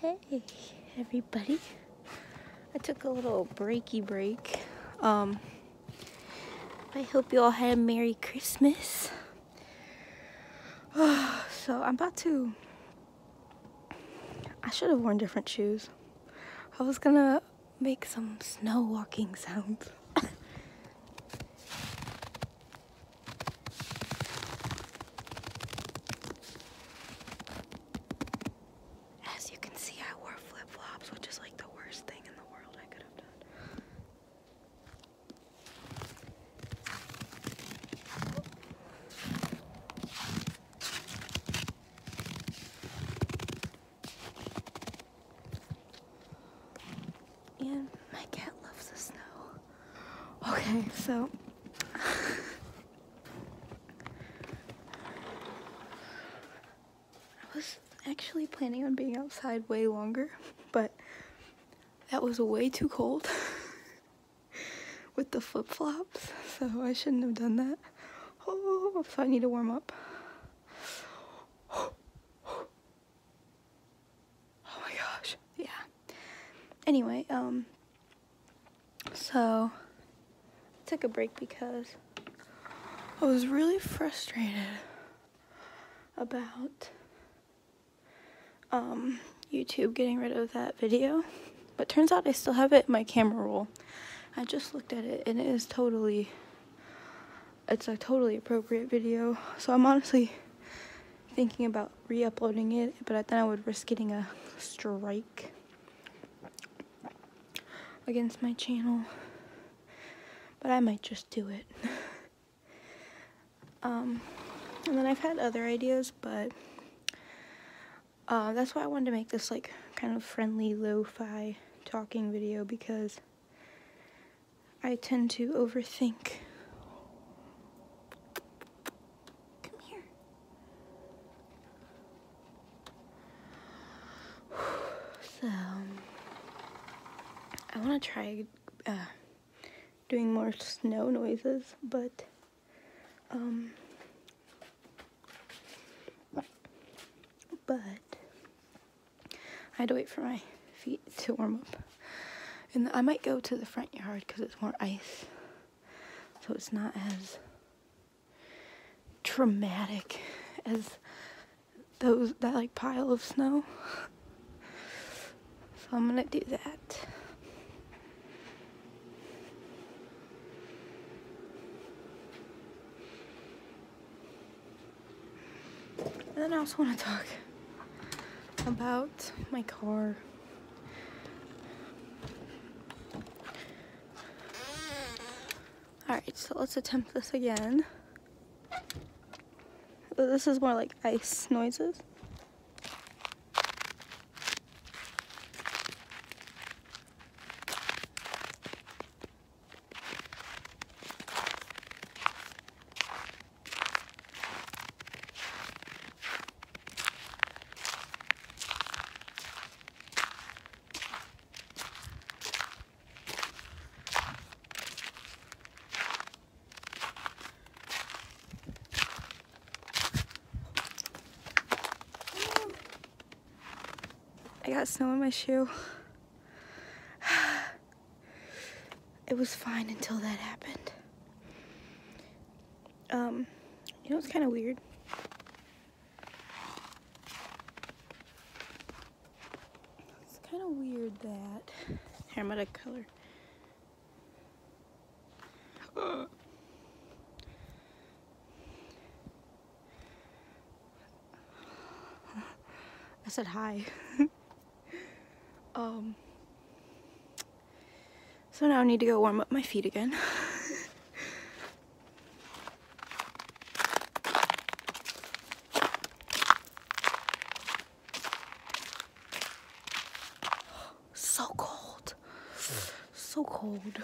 Hey everybody. I took a little breaky break. Um, I hope you all had a Merry Christmas. so I'm about to I should have worn different shoes. I was gonna make some snow walking sounds. As you can see, I wore flip flops, which is like the worst thing in the world I could have done and my cat loves the snow. Okay, so. I was actually planning on being outside way longer, but that was way too cold with the flip flops, so I shouldn't have done that. Oh, so I need to warm up. Oh, Oh my gosh. Yeah. Anyway, um, so I took a break because I was really frustrated about um, YouTube getting rid of that video. But turns out I still have it in my camera roll. I just looked at it and it is totally, it's a totally appropriate video. So I'm honestly thinking about re-uploading it, but I thought I would risk getting a strike against my channel. But I might just do it. Um, and then I've had other ideas, but uh, that's why I wanted to make this like kind of friendly lo-fi talking video because I tend to overthink. Come here. So, I want to try uh, doing more snow noises, but um, but I had to wait for my feet to warm up. And I might go to the front yard because it's more ice. So it's not as traumatic as those that like pile of snow. So I'm gonna do that. And then I also want to talk about my car. Alright, so let's attempt this again. This is more like ice noises. I got snow in my shoe. it was fine until that happened. Um, you know, it's kind of weird. It's kind of weird that. Here, color. I said hi. Um, so now I need to go warm up my feet again. so cold. So cold.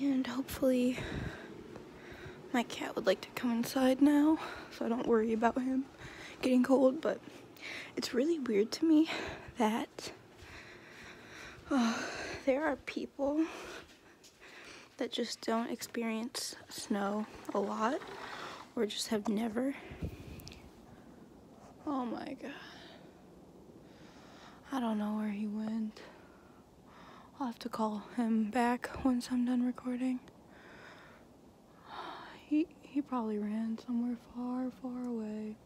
And hopefully my cat would like to come inside now so I don't worry about him getting cold but it's really weird to me that uh, there are people that just don't experience snow a lot or just have never. Oh my god. I don't know where he went. I'll have to call him back once I'm done recording. He he probably ran somewhere far, far away.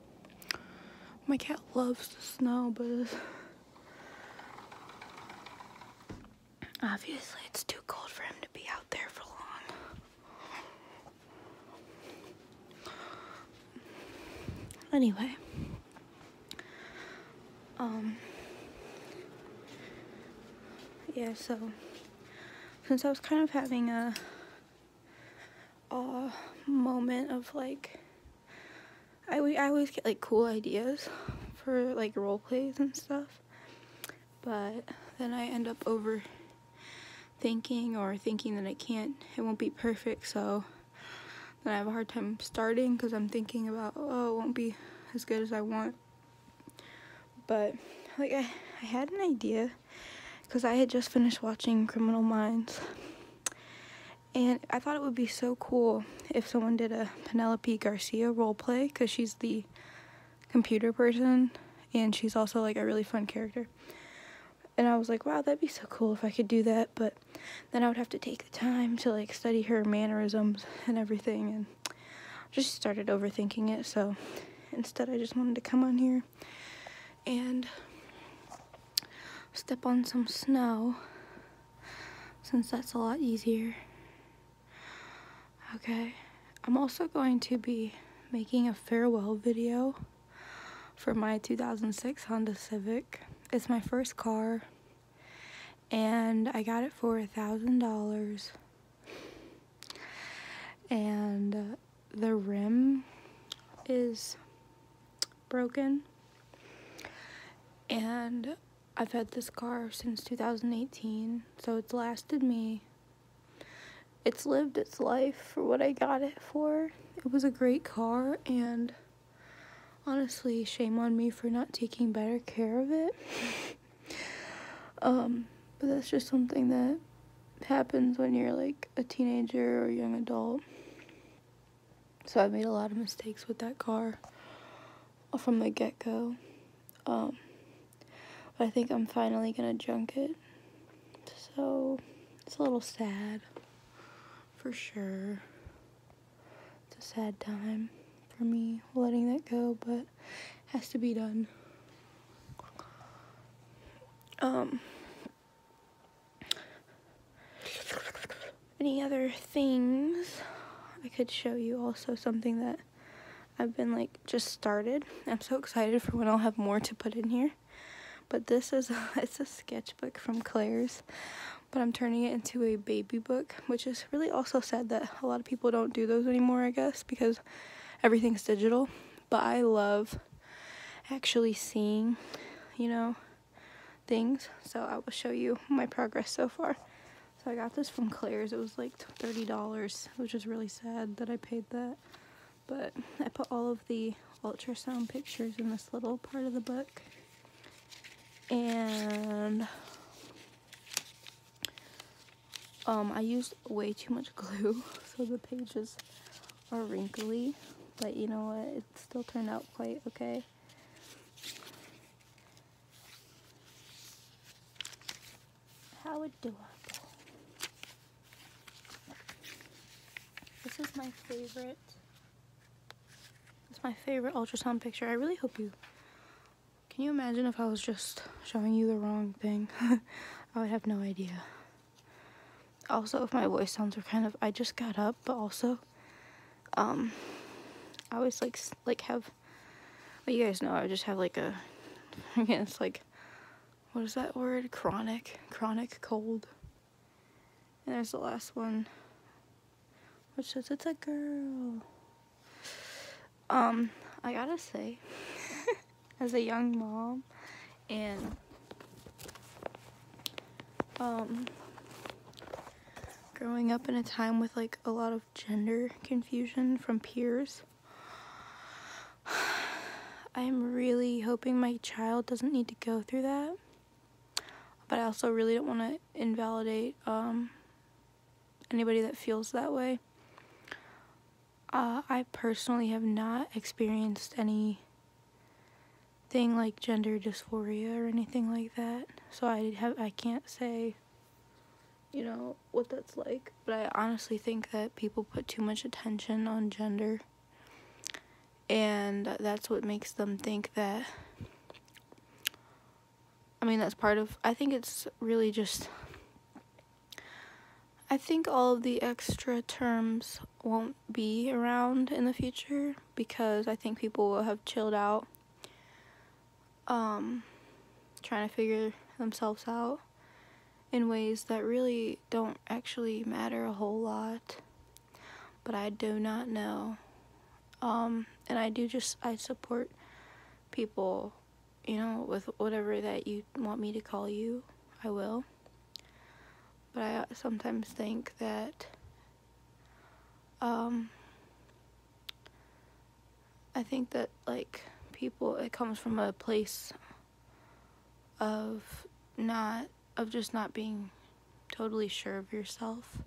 My cat loves the snow, but Obviously, it's too cold for him to be out there for long. Anyway, um, yeah, so since I was kind of having a, a moment of like I, I always get like cool ideas for like role plays and stuff, but then I end up overthinking or thinking that I can't, it won't be perfect, so then I have a hard time starting because I'm thinking about, oh, it won't be as good as I want. But like I, I had an idea because I had just finished watching Criminal Minds and I thought it would be so cool if someone did a Penelope Garcia role play because she's the computer person and she's also like a really fun character. And I was like, wow, that'd be so cool if I could do that, but then I would have to take the time to like study her mannerisms and everything and just started overthinking it. So instead, I just wanted to come on here and step on some snow since that's a lot easier. Okay, I'm also going to be making a farewell video for my 2006 Honda Civic. It's my first car and I got it for a thousand dollars and uh, the rim is broken. And I've had this car since 2018, so it's lasted me. It's lived its life for what I got it for. It was a great car, and honestly, shame on me for not taking better care of it. um, but that's just something that happens when you're like a teenager or young adult. So I made a lot of mistakes with that car from the get-go. Um, I think I'm finally going to junk it. So it's a little sad for sure. It's a sad time for me letting that go, but has to be done. Um, any other things I could show you also something that I've been like just started I'm so excited for when I'll have more to put in here but this is a, it's a sketchbook from Claire's but I'm turning it into a baby book which is really also sad that a lot of people don't do those anymore I guess because everything's digital but I love actually seeing you know things. So I will show you my progress so far. So I got this from Claire's. It was like $30, which is really sad that I paid that. But I put all of the ultrasound pictures in this little part of the book. And um, I used way too much glue, so the pages are wrinkly. But you know what? it still turned out quite okay. How adorable. This is my favorite. It's my favorite ultrasound picture. I really hope you... Can you imagine if I was just showing you the wrong thing? I would have no idea. Also, if my voice sounds are kind of, I just got up, but also, um, I always like, like have, well, you guys know, I just have like a, I again, it's like, what is that word? Chronic, chronic cold. And there's the last one, which says it's a girl. Um, I gotta say, as a young mom, and um, growing up in a time with like a lot of gender confusion from peers. I'm really hoping my child doesn't need to go through that. But I also really don't want to invalidate um, anybody that feels that way. Uh, I personally have not experienced any thing like gender dysphoria or anything like that. So I have I can't say you know what that's like, but I honestly think that people put too much attention on gender and that's what makes them think that I mean that's part of I think it's really just I think all of the extra terms won't be around in the future because I think people will have chilled out um, trying to figure themselves out in ways that really don't actually matter a whole lot but I do not know um, and I do just I support people you know with whatever that you want me to call you I will but I sometimes think that um, I think that like people it comes from a place of not of just not being totally sure of yourself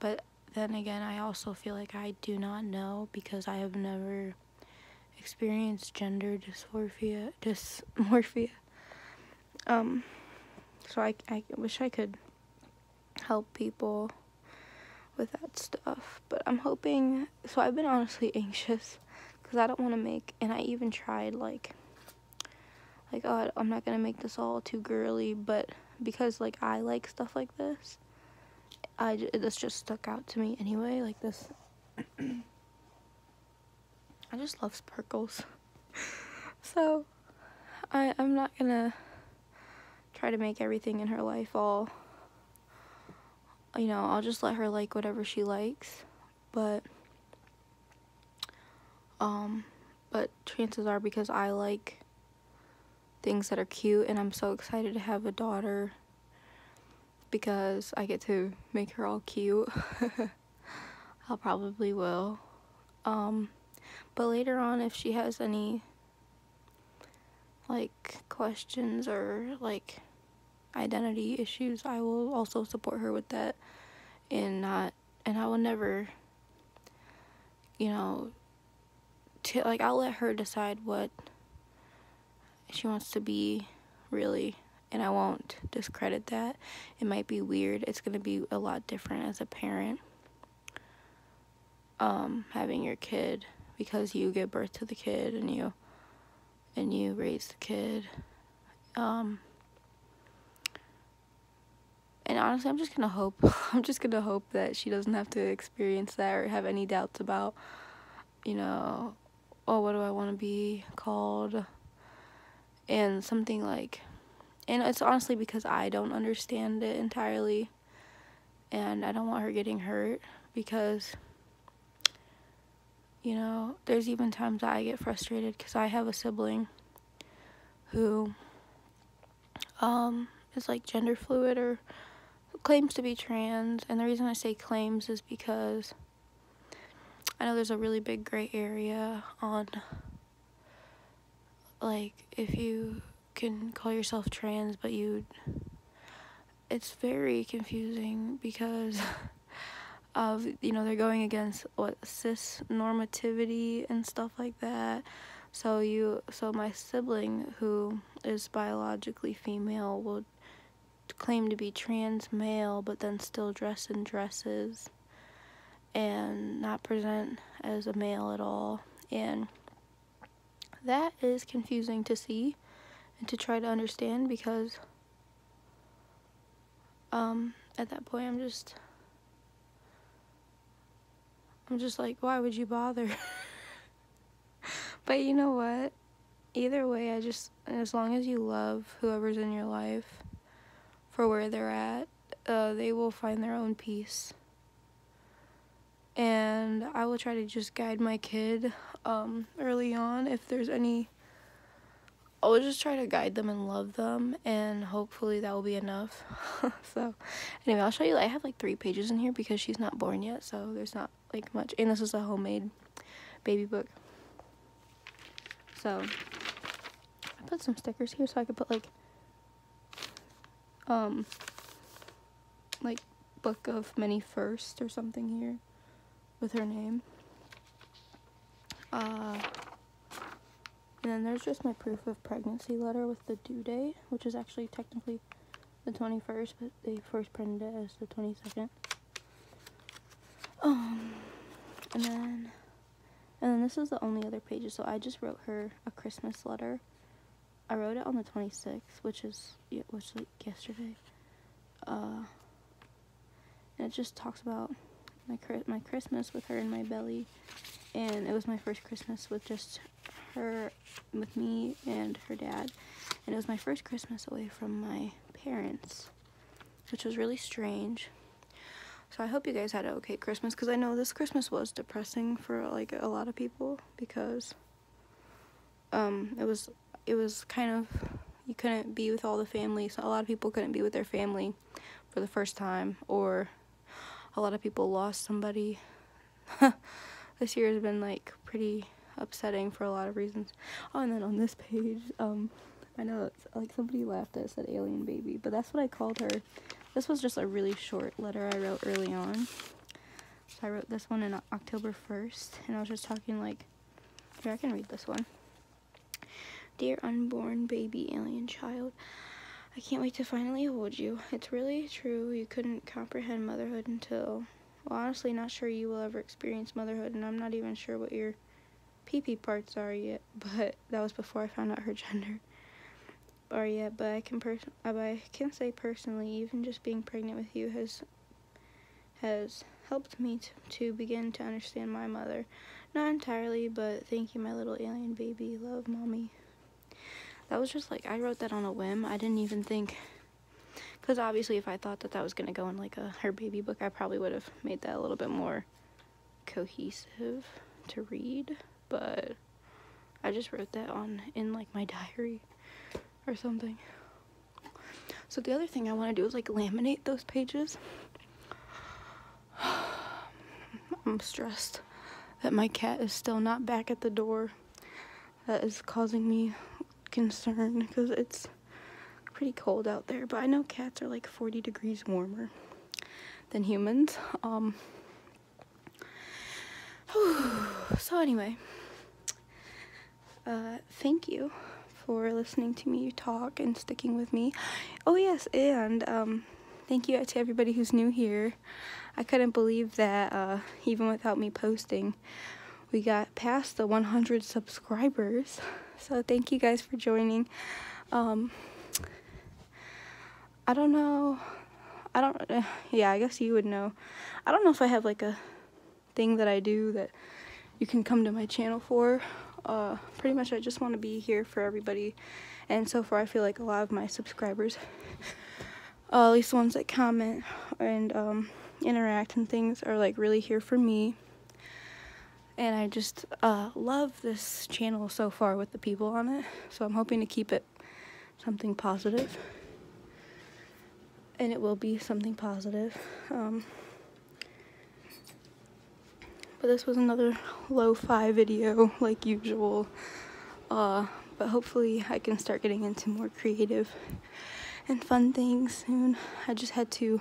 but then again I also feel like I do not know because I have never experienced gender dysphoria dysmorphia um, so I, I wish I could help people with that stuff. But I'm hoping, so I've been honestly anxious because I don't want to make, and I even tried like, like, oh, I'm not going to make this all too girly, but because like I like stuff like this, I, this just stuck out to me anyway, like this I just love sparkles. so I, I'm not gonna try to make everything in her life all, you know, I'll just let her like whatever she likes. But, um, but chances are because I like things that are cute and I'm so excited to have a daughter because I get to make her all cute. I probably will. Um, but later on, if she has any, like, questions or, like, identity issues, I will also support her with that and not, and I will never, you know, like, I'll let her decide what she wants to be, really and I won't discredit that. It might be weird. It's going to be a lot different as a parent um, having your kid because you give birth to the kid and you and you raise the kid. Um, and honestly, I'm just going to hope I'm just going to hope that she doesn't have to experience that or have any doubts about you know oh, what do I want to be called? And something like, and it's honestly because I don't understand it entirely. And I don't want her getting hurt because, you know, there's even times that I get frustrated because I have a sibling who um, is like gender fluid or claims to be trans. And the reason I say claims is because I know there's a really big gray area on, like, if you can call yourself trans, but you. It's very confusing because of, you know, they're going against what cis normativity and stuff like that. So you, so my sibling who is biologically female would claim to be trans male but then still dress in dresses and not present as a male at all. And that is confusing to see and to try to understand because um, at that point I'm just I'm just like, why would you bother? but you know what? Either way, I just and as long as you love whoever's in your life for where they're at, uh, they will find their own peace. And I will try to just guide my kid um, early on if there's any. I will just try to guide them and love them, and hopefully that will be enough. so, anyway, I'll show you. I have like three pages in here because she's not born yet, so there's not like much. And this is a homemade baby book. So, I put some stickers here so I could put, like, um, like, book of many first or something here with her name. Uh, and then there's just my proof of pregnancy letter with the due date, which is actually technically the 21st, but they first printed it as the 22nd. Um, and then, and then this is the only other page So I just wrote her a Christmas letter. I wrote it on the 26th, which is, yeah, which like yesterday. Uh, and it just talks about my my Christmas with her in my belly, and it was my first Christmas with just her, with me and her dad, and it was my first Christmas away from my parents, which was really strange. So I hope you guys had an okay Christmas because I know this Christmas was depressing for like a lot of people because um, it was it was kind of you couldn't be with all the family. So a lot of people couldn't be with their family for the first time or a lot of people lost somebody. this year has been like pretty upsetting for a lot of reasons. Oh, and then on this page, um, I know, it's, like, somebody laughed at said Alien Baby, but that's what I called her. This was just a really short letter I wrote early on. So I wrote this one in October 1st, and I was just talking, like, here, I can read this one. Dear unborn baby alien child, I can't wait to finally hold you. It's really true you couldn't comprehend motherhood until... Well, honestly, not sure you will ever experience motherhood, and I'm not even sure what you're PP parts are yet, but that was before I found out her gender are yet. But I can person, uh, I can say personally, even just being pregnant with you has has helped me to begin to understand my mother. Not entirely, but thank you, my little alien baby. Love, mommy. That was just like I wrote that on a whim. I didn't even think because obviously if I thought that that was going to go in like a her baby book, I probably would have made that a little bit more cohesive to read, but I just wrote that on in like my diary or something. So the other thing I want to do is like laminate those pages. I'm stressed that my cat is still not back at the door. That is causing me concern because it's pretty cold out there, but I know cats are like 40 degrees warmer than humans. Um, so anyway, uh, thank you for listening to me talk and sticking with me. Oh yes, and um, thank you to everybody who's new here. I couldn't believe that uh, even without me posting, we got past the 100 subscribers. So thank you guys for joining. Um, I don't know. I don't, yeah, I guess you would know. I don't know if I have like a thing that I do that you can come to my channel for. Uh, pretty much I just want to be here for everybody. And so far I feel like a lot of my subscribers, uh, at least ones that comment and um, interact and things are like really here for me and I just uh, love this channel so far with the people on it. So I'm hoping to keep it something positive, and it will be something positive. Um, but this was another lo-fi video, like usual. Uh, but hopefully I can start getting into more creative and fun things soon. I just had to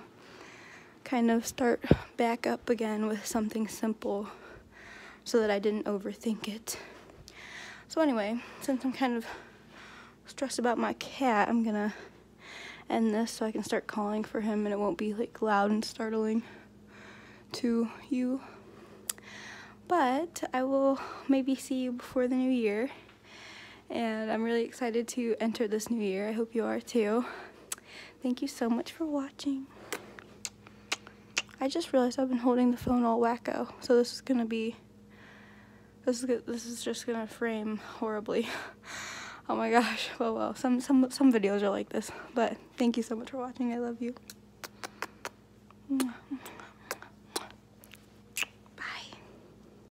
kind of start back up again with something simple so that I didn't overthink it. So anyway, since I'm kind of stressed about my cat, I'm gonna end this so I can start calling for him and it won't be like loud and startling to you. But I will maybe see you before the new year and I'm really excited to enter this new year. I hope you are too. Thank you so much for watching. I just realized I've been holding the phone all wacko, so this is gonna be, this is this is just gonna frame horribly. oh my gosh, well, oh, well, some, some, some videos are like this, but thank you so much for watching. I love you. Mwah.